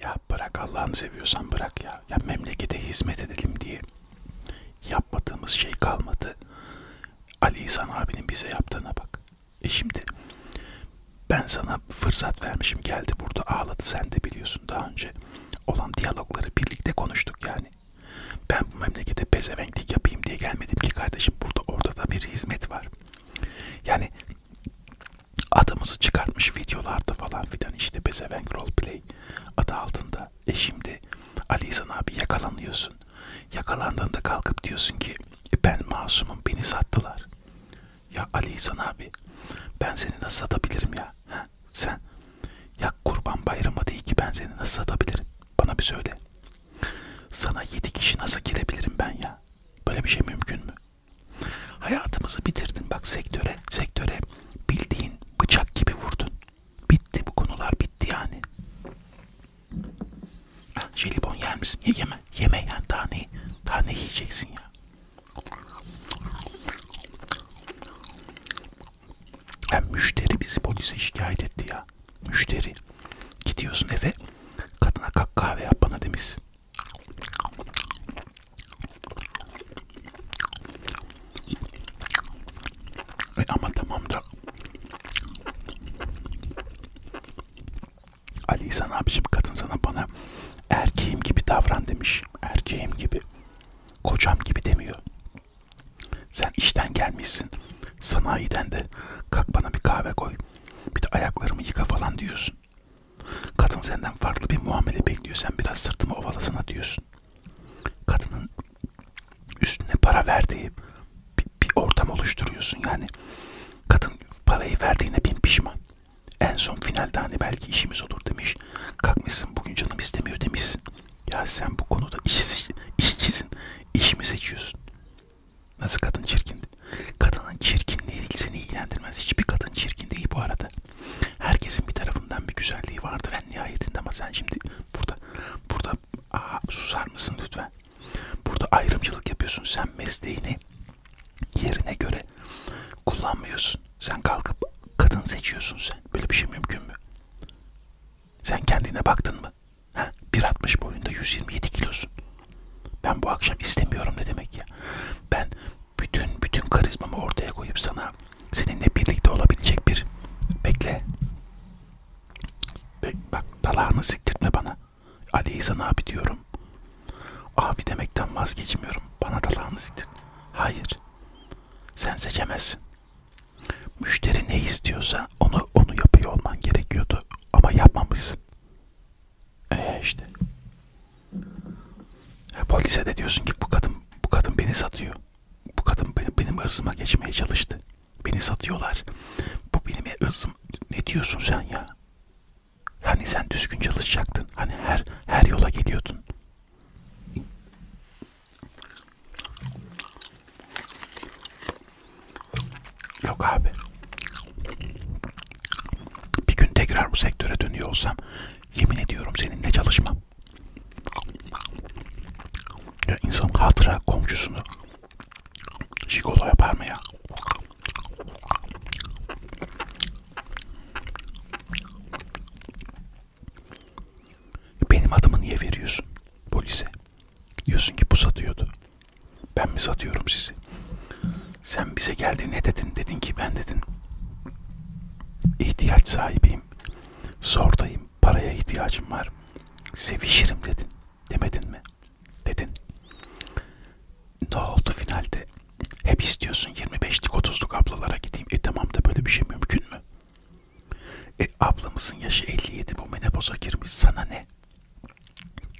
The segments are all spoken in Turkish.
Ya bırak Allah'ını seviyorsan bırak ya. Ya memlekete hizmet edelim diye yapmadığımız şey kalmadı. Ali İhsan abinin bize yaptığına bak. E şimdi ben sana fırsat vermişim geldi burada ağladı sen de biliyorsun daha önce olan diyalogları birlikte konuştuk yani. Ben bu memlekete pezevenklik yapayım diye gelmedim ki kardeşim burada orada da bir hizmet var. Yani adımızı çıkartmış videolarda falan filan işte Bezevenk Roleplay adı altında. E şimdi Ali İhsan abi yakalanıyorsun. Yakalandığında kalkıp diyorsun ki e ben masumum beni sattılar. Ya Ali İhsan abi ben seni nasıl satabilirim ya? Ha, sen ya kurban bayramı değil ki ben seni nasıl satabilirim? Bana bir söyle. Sana yedi kişi nasıl girebilirim ben ya? Böyle bir şey mümkün mü? Hayatımızı bitirdin bak sektöre, sektöre bildiğin bıçak gibi vurdun. Bitti bu konular bitti yani. Ha, jelibon yer misin? Niye yeme? Yeme yani daha ne, daha ne yiyeceksin ya? Yani müşteri bizi polise şikayet etti ya. Müşteri. Gidiyorsun eve kadına kalk kahve yap bana demişsin. E ama tamam da Ali sana abicim kadın sana bana erkeğim gibi davran demiş. Erkeğim gibi. Kocam gibi demiyor. Sen işten gelmişsin. Sanayiden de kalk bana bir kahve koy. Bir de ayaklarımı yıka falan diyorsun. Kadın senden farklı bir muamele bekliyor. Sen biraz sırtımı ovalasana diyorsun. Kadının üstüne para verdiği bir, bir ortam oluşturuyorsun. Yani kadın parayı verdiğine bin pişman. En son finalde hani belki işimiz olur demiş. Kalkmışsın bugün canım istemiyor demişsin. Ya sen bu konuda iş, işçisin. İşimi seçiyorsun. Nasıl kadın çirkindi? Kadının çirkinliği değil seni ilgilendirmez. Hiçbir kadın çirkin değil bu arada. Herkesin bir tarafından bir güzelliği vardır en nihayetinde ama sen şimdi burada burada aa, susar mısın lütfen? Burada ayrımcılık yapıyorsun. Sen mesleğini yerine göre kullanmıyorsun. Sen kalkıp kadın seçiyorsun sen. Böyle bir şey mümkün mü? Sen kendine baktın mı? Ha? 1.60 boyunda 127 kilosun. Ben bu akşam istemiyorum ne demek ya? Ben bütün bütün karizmamı ortaya koyup sana seninle birlikte olabilecek bir bekle. Be bak dalağını siktirtme bana. Ali İhsan abi diyorum. Abi demekten vazgeçmiyorum. Bana dalağını siktir. Hayır. Sen seçemezsin. Müşteri ne istiyorsa onu onu yapıyor olman gerekiyordu ama yapmamışsın. E işte. E, polise de diyorsun ki bu kadın bu kadın beni satıyor. Bu kadın benim, benim hırsıma geçmeye çalıştı. Beni satıyorlar. Bu benim hırsım. Ne diyorsun sen ya? Hani sen düzgün çalışacaktın. Hani her her yola geliyordun. Yok abi. Bir gün tekrar bu sektöre dönüyor olsam yemin ediyorum seninle çalışmam. Ya insan hatıra komşusunu jigolo yapar mı ya? Benim adımı niye veriyorsun polise? Diyorsun ki bu satıyordu. Ben mi satıyorum sizi? Sen bize geldi ne dedin? Dedin ki ben dedim. İhtiyaç sahibiyim. Zordayım. Paraya ihtiyacım var. Sevişirim dedin. Demedin mi? Dedin. Ne oldu finalde? Hep istiyorsun 25'lik 30'luk ablalara gideyim. E tamam da böyle bir şey mümkün mü? E ablamızın yaşı 57 bu menopoza girmiş. Sana ne?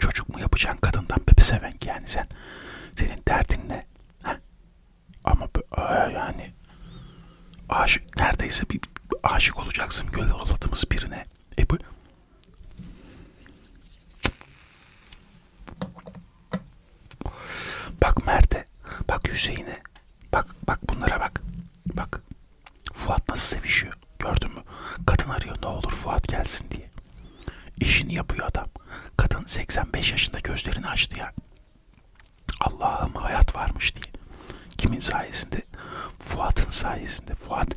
Çocuk mu yapacaksın kadından bebe seven ki yani sen senin derdin ne? Heh. Ama aa, e, yani aşık neredeyse bir aşık olacaksın göl oladığımız birine. E bu Bak Mert'e, bak Hüseyin'e, bak bak bunlara bak. Bak Fuat nasıl sevişiyor. Gördün mü? Kadın arıyor ne olur Fuat gelsin diye. İşini yapıyor adam. Kadın 85 yaşında gözlerini açtı ya. Allah'ım hayat varmış diye. Kimin sayesinde? Fuat'ın sayesinde. Fuat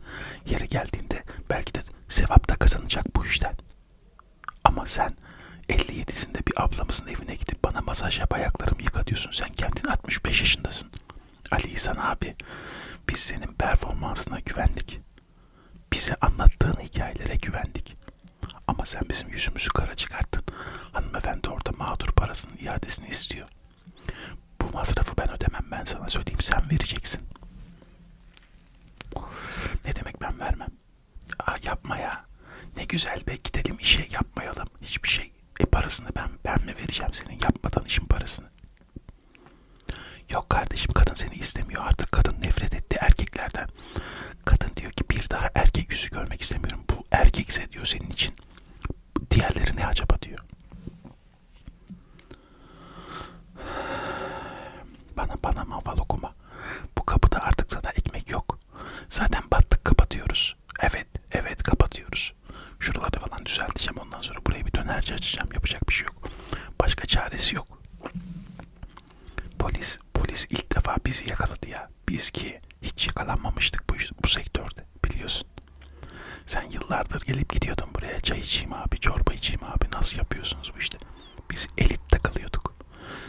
yeri geldiğinde belki de sevap da kazanacak bu işten. Ama sen 57'sinde bir ablamızın evine gidip bana masaj yap ayaklarımı yıka diyorsun. Sen kendin 65 yaşındasın. Ali İhsan abi biz senin performansına güvendik. Bize anlattığın hikayelere güvendik. Ama sen bizim yüzümüzü kara çıkarttın. Hanımefendi orada mağdur parasının iadesini istiyor. Bu masrafı ben ödemem ben sana söyleyeyim sen vereceksin. Ne demek ben vermem? Aa yapma ya. Ne güzel be gidelim işe yapmayalım. Hiçbir şey. E parasını ben ben mi vereceğim senin yapmadan işin parasını? Yok kardeşim kadın seni istemiyor artık kadın nefret etti erkeklerden. Kadın diyor ki bir daha erkek yüzü görmek istemiyorum. Bu erkekse diyor senin için. Diğerleri ne acaba diyor. Bana bana manval okuma. Bu kapıda artık sana ekmek yok. Zaten battık kapatıyoruz. Evet evet kapatıyoruz görüyorsunuz. Şuraları falan düzelteceğim ondan sonra buraya bir dönerci açacağım. Yapacak bir şey yok. Başka çaresi yok. Polis, polis ilk defa bizi yakaladı ya. Biz ki hiç yakalanmamıştık bu, bu sektörde biliyorsun. Sen yıllardır gelip gidiyordun buraya çay içeyim abi, çorba içeyim abi nasıl yapıyorsunuz bu işte. Biz elitte kalıyorduk.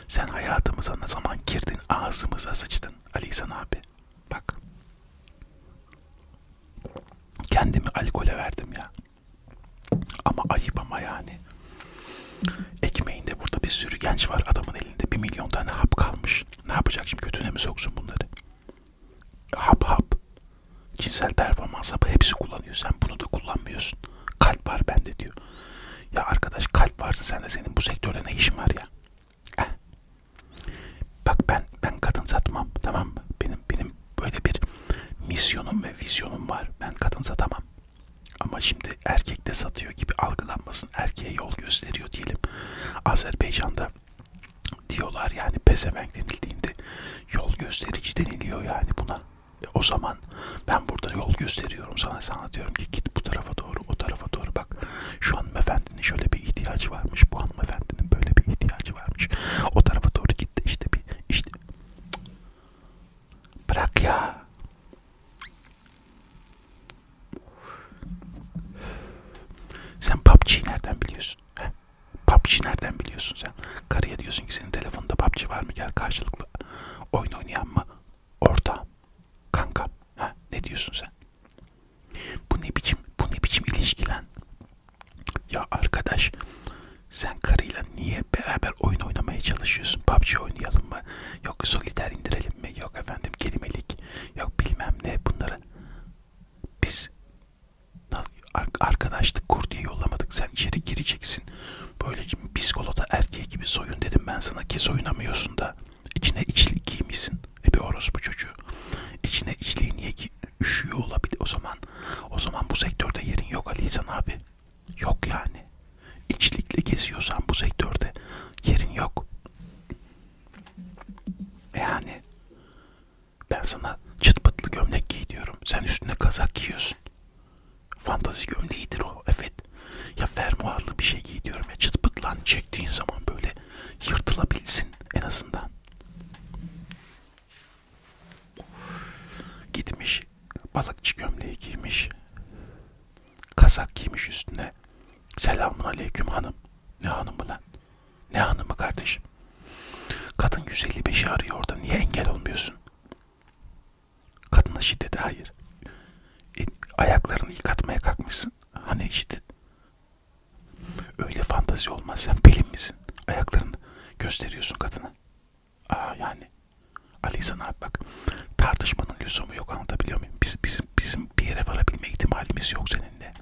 Sen hayatımıza ne zaman girdin ağzımıza sıçtın Ali İhsan abi. Bak. Kendimi alkole verdim ya. Ama ayıp ama yani. Ekmeğinde burada bir sürü genç var adamın elinde. Bir milyon tane hap kalmış. Ne yapacak şimdi kötüne mi soksun bunları? Hap hap. Cinsel performans hapı hepsi kullanıyor. Sen bunu da kullanmıyorsun. Kalp var bende diyor. Ya arkadaş kalp varsa sen de senin bu sektörde ne işin var ya? Bak ben ben kadın satmam tamam mı? Benim benim böyle bir misyonum ve vizyonum var. Ben kadın satamam. Ama şimdi erkek de satıyor gibi algılanmasın. Erkeğe yol gösteriyor diyelim. Azerbaycan'da diyorlar yani pezevenk denildiğinde yol gösterici deniliyor yani buna. E o zaman ben burada yol gösteriyorum sana sana diyorum ki git bu tarafa doğru o tarafa doğru bak şu hanımefendi hanımefendinin şöyle bir ihtiyacı varmış. Bu hanımefendinin böyle bir ihtiyacı varmış. O tarafa doğru gitti işte bir işte. Bırak ya. Sen PUBG'yi nereden biliyorsun? Heh. PUBG nereden biliyorsun sen? Karıya diyorsun ki senin telefonda PUBG var mı? Gel karşılıklı oyun oynayan mı? Orta. Kanka. Ha, ne diyorsun sen? Bu ne biçim, bu ne biçim ilişkilen? Ya arkadaş, sen karıyla niye beraber oyun oynamaya çalışıyorsun? PUBG oynayalım mı? Yok soliter indirelim mi? Yok efendim kelimelik, yok bilmem ne bunları. Biz arkadaşlık kur diye yollamadık. Sen içeri gireceksin. Böyle psikolota erkeği gibi soyun dedim ben sana ki soyunamıyorsun da. İçine içlik giymişsin. E bir orospu çocuğu. İçine içliği niye ki üşüyor olabilir o zaman. O zaman bu sektörde yerin yok Ali İhsan abi. Yok yani. İçlikle geziyorsan bu sektörde yerin yok. E yani ben sana çıt pıtlı gömlek giy diyorum. Sen üstüne kazak giyiyorsun. Fantazi gömleğidir o. Evet. Ya fermuarlı bir şey giy diyorum ya çıt pıtlan hani çektiğin zaman böyle yırtılabilsin en azından. Gitmiş balıkçı gömleği giymiş. Kazak giymiş üstüne. Selamun aleyküm hanım. Ne hanımı lan? Ne hanımı kardeşim? Kadın 155'i arıyor orada. Niye engel olmuyorsun? Kadına şiddete hayır. E, ayaklarını yıkatmaya kalkmışsın. Hani şiddet? Öyle fantazi olmaz. Sen pelin misin? Ayaklarını gösteriyorsun kadına. Aa yani. Ali sana abi bak. Tartışmanın lüzumu yok anlatabiliyor muyum? Biz, bizim, bizim bir yere varabilme ihtimalimiz yok seninle.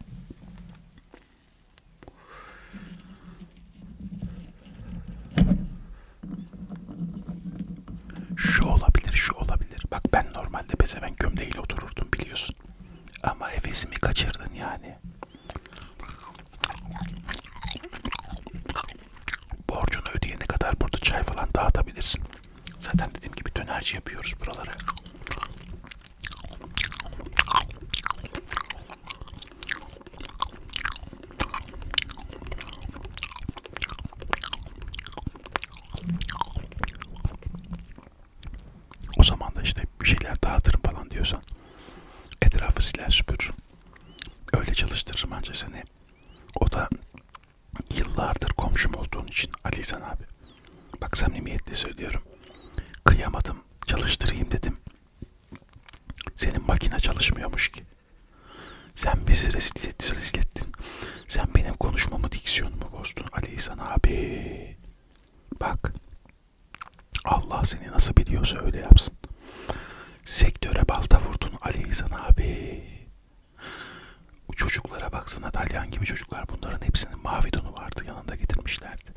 Şu olabilir, şu olabilir. Bak ben normalde bezeven gömdeğiyle otururdum biliyorsun. Ama hevesimi kaçırdın yani. Borcunu ödeyene kadar burada çay falan dağıtabilirsin. Zaten dediğim gibi dönerci yapıyoruz buraları. O zaman da işte bir şeyler dağıtırım falan diyorsan etrafı siler süpür. Öyle çalıştırırım anca seni. O da yıllardır komşum olduğun için Ali İhsan abi. Bak samimiyetle söylüyorum. Kıyamadım, çalıştırayım dedim. Senin makine çalışmıyormuş ki. Sen bizi rezil, rezil ettin. Sen benim konuşmamı diksiyonumu bozdun Ali İhsan abi. Bak. Allah seni nasıl biliyorsa öyle yapsın. Sektöre balta vurdun Ali İhsan abi. O çocuklara baksana Dalyan gibi çocuklar bunların hepsinin mavi donu vardı yanında getirmişlerdi.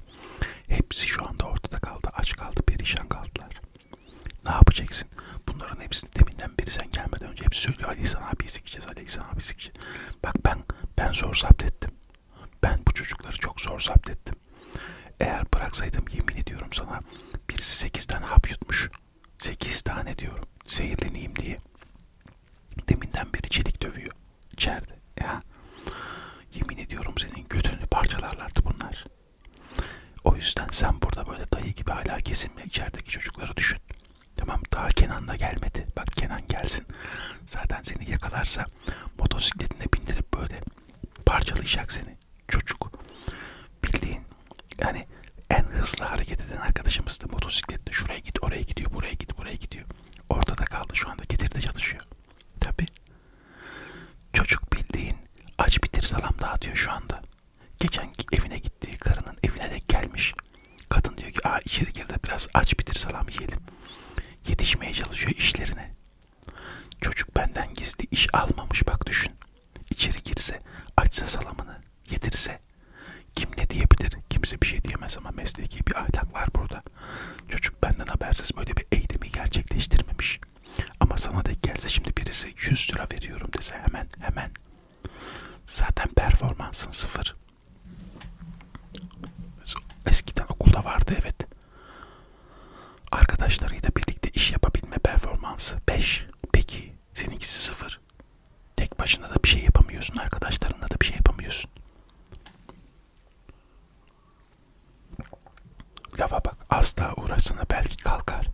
Hepsi şu anda ortada kaldı aç kaldı perişan kaldılar. Ne yapacaksın? Bunların hepsini deminden beri sen gelmeden önce hep söylüyor Ali İhsan abi sikeceğiz Ali İhsan abi sikeceğiz kişi. Bak ben ben zor zapt ettim. Ben bu çocukları çok zor zapt ettim. Eğer bıraksaydım yemin ediyorum sana birisi 8 tane hap yutmuş. 8 tane diyorum. Zehirleneyim diye. Deminden beri çelik dövüyor. İçeride. Ya. Yemin ediyorum senin götünü parçalarlardı bunlar. O yüzden sen burada böyle dayı gibi hala kesinme içerideki çocukları düşün. Tamam daha Kenan da gelmedi. Bak Kenan gelsin. Zaten seni yakalarsa motosikletine bindirip böyle parçalayacak seni. Çocuk. Bildiğin yani en hızlı hareket eden arkadaşımızdı motosikletle. Şuraya git, oraya gidiyor, buraya git, buraya gidiyor. Ortada kaldı şu anda getirdi çalışıyor. Tabi. Çocuk bildiğin aç bitir salam dağıtıyor şu anda. Geçen evine gittiği karının evine de gelmiş gelmiş. Kadın diyor ki Aa, içeri gir de biraz aç bitir salam yiyelim. Yetişmeye çalışıyor işlerine. Çocuk benden gizli iş almamış bak düşün. İçeri girse açsa salamını yedirse kim ne diyebilir? Kimse bir şey diyemez ama mesleki bir ahlak var burada. Çocuk benden habersiz böyle bir eğitimi gerçekleştirmemiş. Ama sana da gelse şimdi birisi 100 lira veriyorum dese hemen hemen Zaten performansın sıfır. Eskiden okulda vardı evet. Arkadaşlarıyla birlikte iş yapabilme performansı 5. Peki seninkisi sıfır. Tek başına da bir şey yapamıyorsun. Arkadaşlarınla da bir şey yapamıyorsun. Lafa bak. Az daha uğraşsana belki kalkar.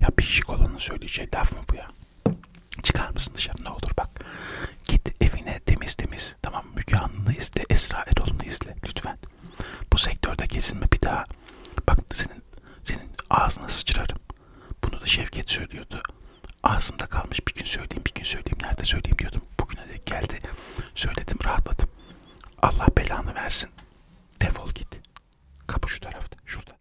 Ya bir şikolonun söyleyeceği laf mı bu ya? Çıkar mısın dışarı ne olur bak. Git evine temiz temiz. Tamam Müge Anlı'nı izle, Esra Erol'unu izle lütfen. Bu sektörde kesinlikle bir daha. Bak senin, senin ağzına sıçrarım. Bunu da Şevket söylüyordu. Ağzımda kalmış bir gün söyleyeyim, bir gün söyleyeyim, nerede söyleyeyim diyordum. Bugüne de geldi, söyledim, rahatladım. Allah belanı versin. Defol git. Kapı şu tarafta, şurada.